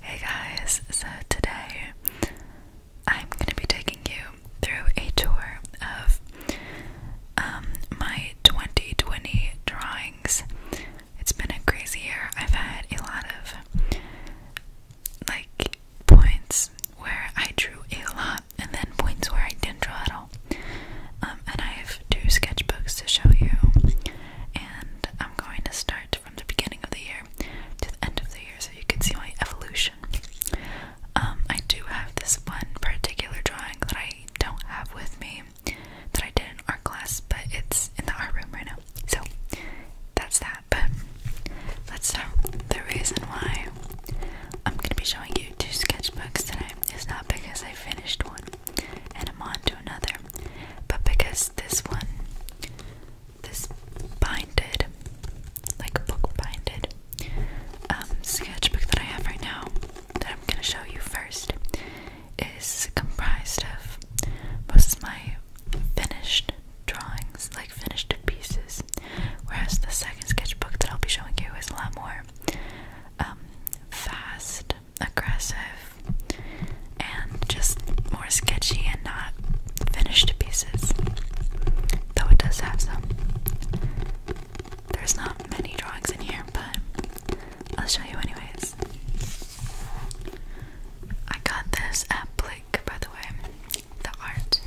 Hey guys, so today I'm going to be taking you through a tour of um, my 2020 drawings. It's been a crazy year. I've had a lot of like points where I drew a lot and then points where I didn't draw at all. Um, and I have two sketchbooks to show you, and I'm going to start from the beginning of the year to the end of the year so you can see my evolution. Um, I do have this one particular drawing that I don't have with me that I did in art class, but it's in the art room right now. So that's that. But let's start. The reason why I'm going to be showing you two sketchbooks today is not because I finished one and I'm on to another but because this one, this binded, like book binded um, sketchbook that I have right now, that I'm going to show you first, is comprised of mostly my finished drawings, like finished pieces, whereas the second sketchbook that I'll be showing you is a lot more um, fast aggressive, and just more sketchy and not finished pieces. Though it does have some. There's not many drawings in here, but I'll show you anyways. I got this at Blick, by the way, the art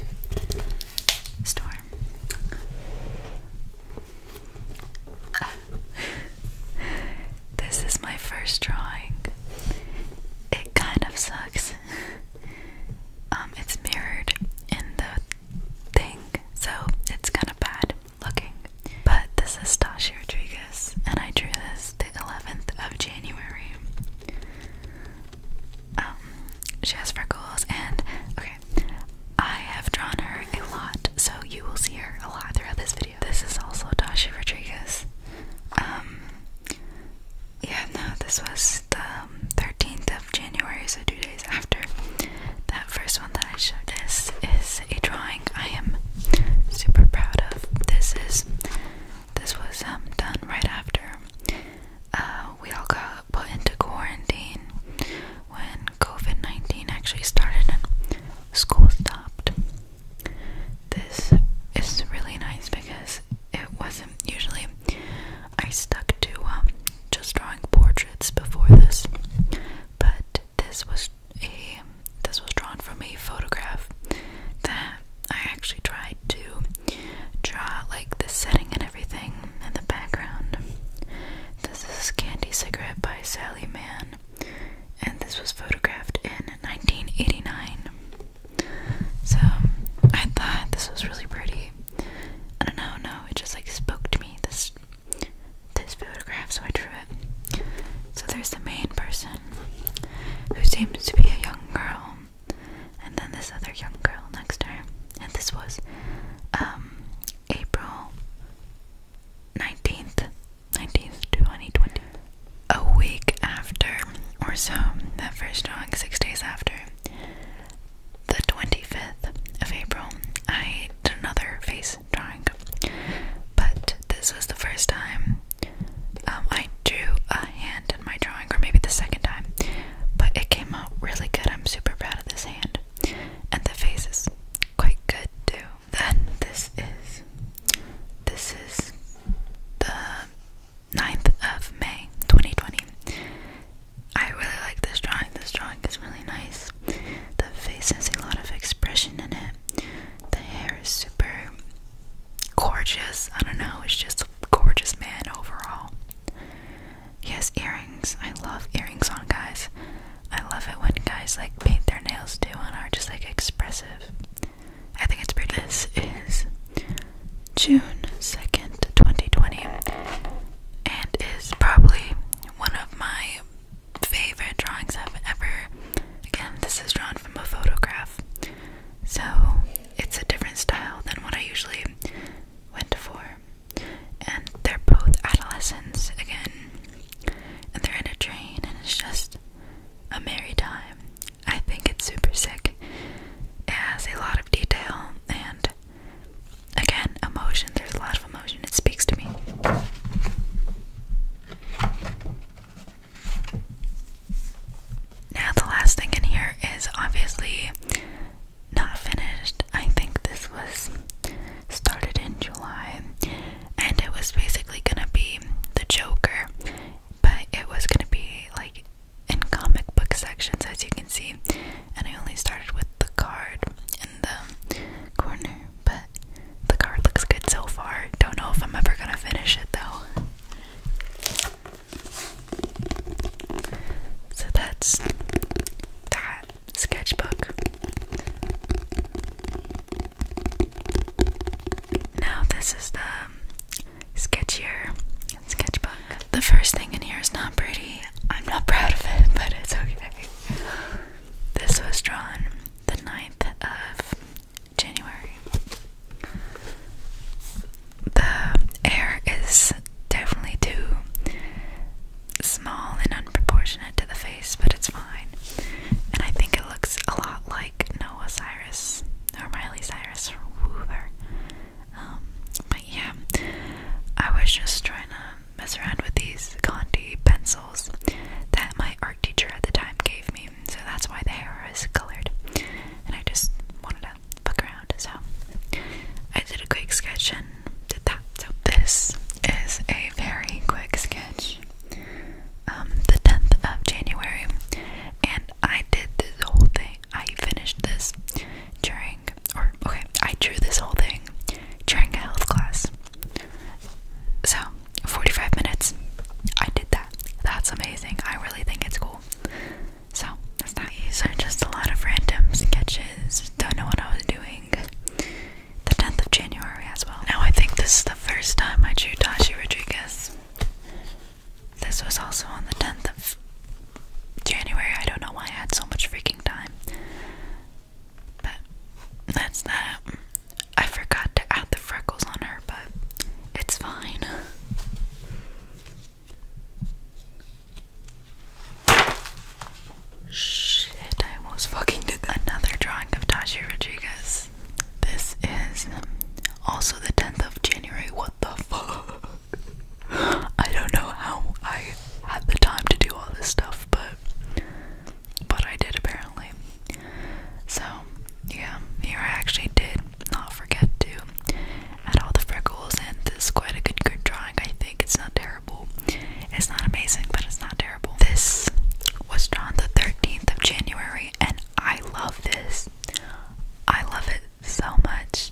store. this is my first drawing. It kind of sucks. um, it's mirrored in the thing, so it's kind of bad looking. But this is Tasha Rodriguez, and I drew this the 11th of January. Um, she has freckles, and okay, I have drawn her a lot, so you will see her a lot throughout this video. This is also Dasha Rodriguez. Um, yeah, no, this was the 13th um, of January, so two days after. That first one that I showed, this is a drawing I am super proud of. This is, this was um, done right after uh, we all got put into quarantine when COVID-19 actually started and school stopped. This is really nice because it wasn't usually I stuck to um, just drawing portraits before this, but this was a this was drawn from a photograph that I actually tried to draw like the setting and everything in the background. This is Candy Cigarette by Sally Mann and this was photographed in 1989. So I thought this was really pretty. I don't know, no, it just like spoke to me this this photograph, so I drew it. So there's the main person who seems to be a young girl, and then this other young girl next to her. And this was um, April nineteenth, 19th, A week after, or so, that first dog, six days after, the 25th of April, I did another face drawing. But this was the first time um, I drew a hand in my drawing, or maybe the second time. But it came out really good. I'm super proud of this hand. And the faces quite good too then this is this is the 9th of May 2020. I really like this drawing. This drawing is really nice. The face has a lot of expression in it. The hair is super gorgeous. I don't know, it's just a gorgeous man overall. Yes, earrings. I love earrings on guys. I love it when guys like paint their nails too and are just like expressive. I think it's pretty. This is June 2nd, 2020, and is probably one of my favorite drawings I've ever. Again, this is drawn from a photograph, so it's a different style than what I usually went for. And they're both adolescents again, and they're in a train, and it's just a Merry Time. I think it's super sick. It has a lot of detail and again, emotion. There's a lot of emotion. It speaks to me. Now, the last thing in here is obviously not finished. I think this was started in July and it was basically gonna be the Joker, but it was gonna be like in comic book sections, as you can see. And I only started with the card in the corner, but the card looks good so far. Don't know if I'm ever gonna finish it though. So that's that sketchbook. Now this is the um, sketchier sketchbook. The first thing in here is not pretty. I'm not proud of it, but it's okay. This was drawn the 9th of January. The air is definitely too small and unproportionate proportionate to the face, but it's fine. And I think it looks a lot like Noah Cyrus or Miley Cyrus or whoever. Um, but yeah, I was just trying to mess around with these Condi pencils that my art teacher at the time gave me, so that's why the hair is colored. And I just wanted to fuck around, so I did a quick sketch and did that. So this is a very quick sketch um, the 10th of January, and I did this whole thing. I finished this during, or okay, I drew this whole thing during a health class. So, 45 minutes, I did that. That's amazing. I really think it's cool. So, that's nice. So, just a lot of random sketches. Don't know what I was doing the 10th of January as well. Now, I think this is the first time I drew Tashi Rodriguez. This was also on the 10th of January. I don't know why I had so much freaking time. But that's that. I forgot to add the freckles on her, but it's fine. Shit, I almost fucking did Another drawing of Tashi Rodriguez this is also the 10th of January. What the fuck? I don't know how I had the time to do all this stuff, but but I did apparently. So yeah, here I actually did not forget to add all the freckles, and this is quite a good drawing. I think it's not terrible. It's not amazing, but it's not terrible. This was drawn the 13th of January, and I love this. I love it so much.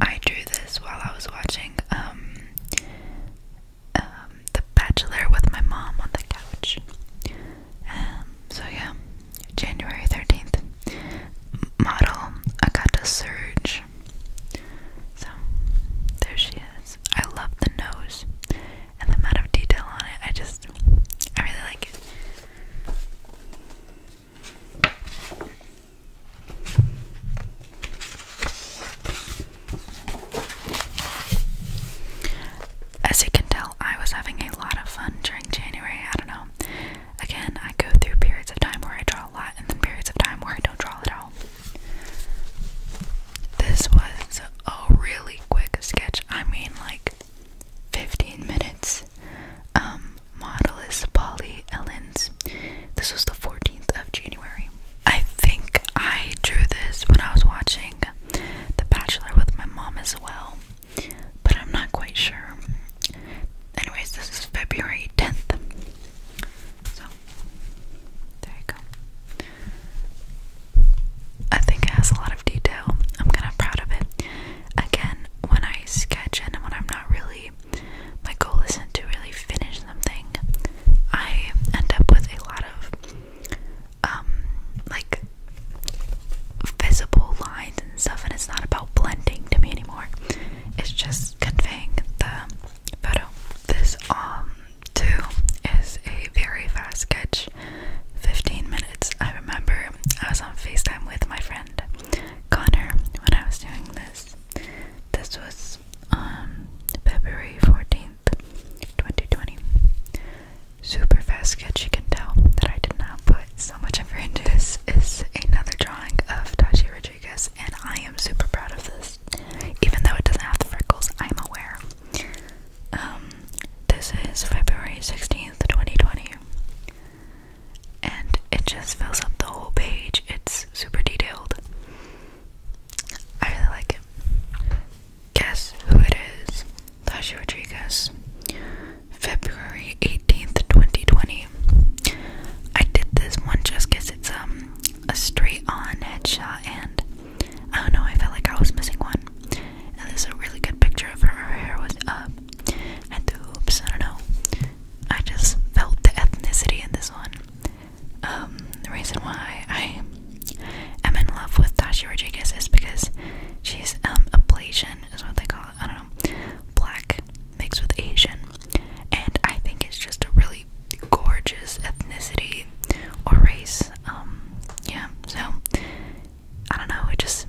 I drew this while I was watching um, um The Bachelor with my mom on the couch. Um, so, yeah, January 13th. Model Akata Surge. So, there she is. I love the nose and the amount of detail on it, I just, I really like it. As you can tell, I was having a lot of fun during January. I don't know. Again, I go through periods of time where I draw a lot and then periods of time where I don't draw at all. This was a really quick sketch. I mean, like 15 minutes. Um, model is Polly Ellens. This was the 14th of January. I think I drew this when I was watching The Bachelor with my mom as well, but I'm not quite sure. Anyways, this is February 10th. So, there you go. I think it has a lot of detail. I'm kind of proud of it. Again, when I sketch and when I'm not really, my goal isn't to really finish something. I end up with a lot of, um, like visible lines and stuff, and it's not about blending to me anymore. It's just conveying the photo. This um 2 is a very fast sketch. 15 minutes. I remember I was on FaceTime with my friend Connor when I was doing this. This was February 14th, 2020. Super fast sketch, you can tell that I did not put so much effort into this. Is another drawing of Tashi Rodriguez, and I am super proud of this. Even though it doesn't have the freckles, I'm aware. Um, this is February 16th, 2020. And it just fills up the whole page. It's super detailed. I really like it. Guess who it is? Tasha Rodriguez. February 18th, 2020. I did this one just because it's um a straight on headshot and I don't know, I felt like I was missing one. And there's a really good picture of her. hair was up, and the hoops. I don't know. I just felt the ethnicity in this one. Um, the reason why I am in love with Tasha Rodriguez is because she's um, ablation, is what they call it. I don't know. Black mixed with Asian. And I think it's just a really gorgeous ethnicity or race. Um, yeah, so I don't know. It just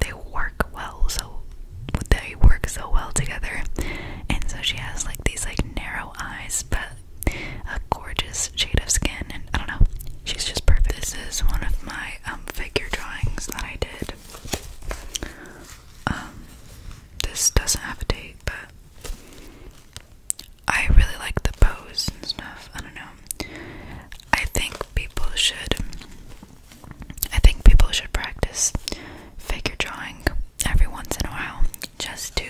they work well, so they work so well together. And so she has like these like narrow eyes, but a gorgeous shade of skin. And I don't know, she's just perfect. This is one of my um, figure drawings that I did. Um, this doesn't have a date, but I really like the pose and stuff. I don't know. I think people should I think people should practice figure drawing every once in a while just to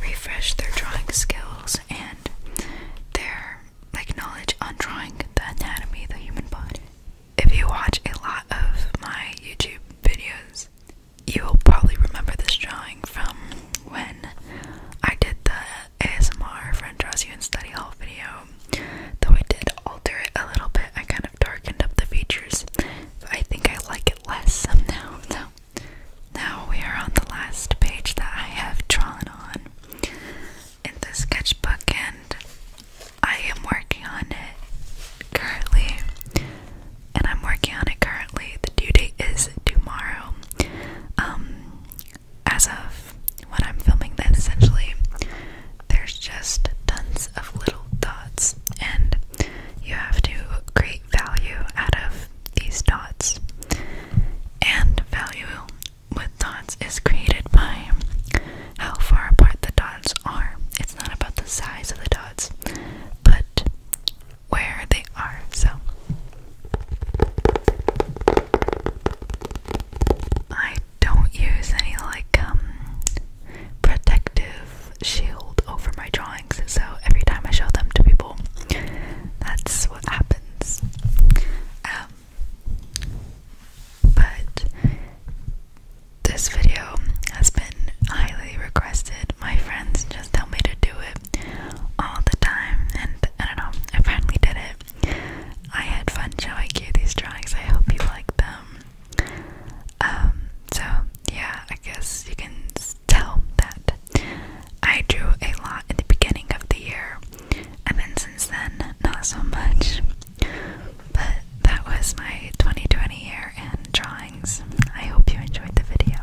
refresh their drawing skills and their knowledge on drawing the anatomy of the human body. If you watch a lot of my YouTube videos, you'll probably remember this drawing from when I did the ASMR friend draws you in study hall video. Though I did alter it a little bit, I kind of darkened up the features. I think I like it less now. Now, now we are on the last page that I have drawn on in the sketchbook, and I am working on it currently and I'm working on it currently. The due date is tomorrow. Um, as of when I'm filming this, essentially, there's just tons of little dots, and you have to create value out of these dots. And value with dots is created by how far apart the dots are. It's not about the size of the dots, but where they are. So I don't use any like um protective shield over my drawings, so every time I show them to people, that's what happens. Um, but this video has been highly requested. My friends just tell me to do it all the time, and I don't know, I finally did it. I had fun showing you these drawings. I hope you like them. Um, so yeah, I guess you can tell that I drew a lot in the beginning of the year, and then since then, not so much. But that was my 2020 year in drawings. I hope you enjoyed the video.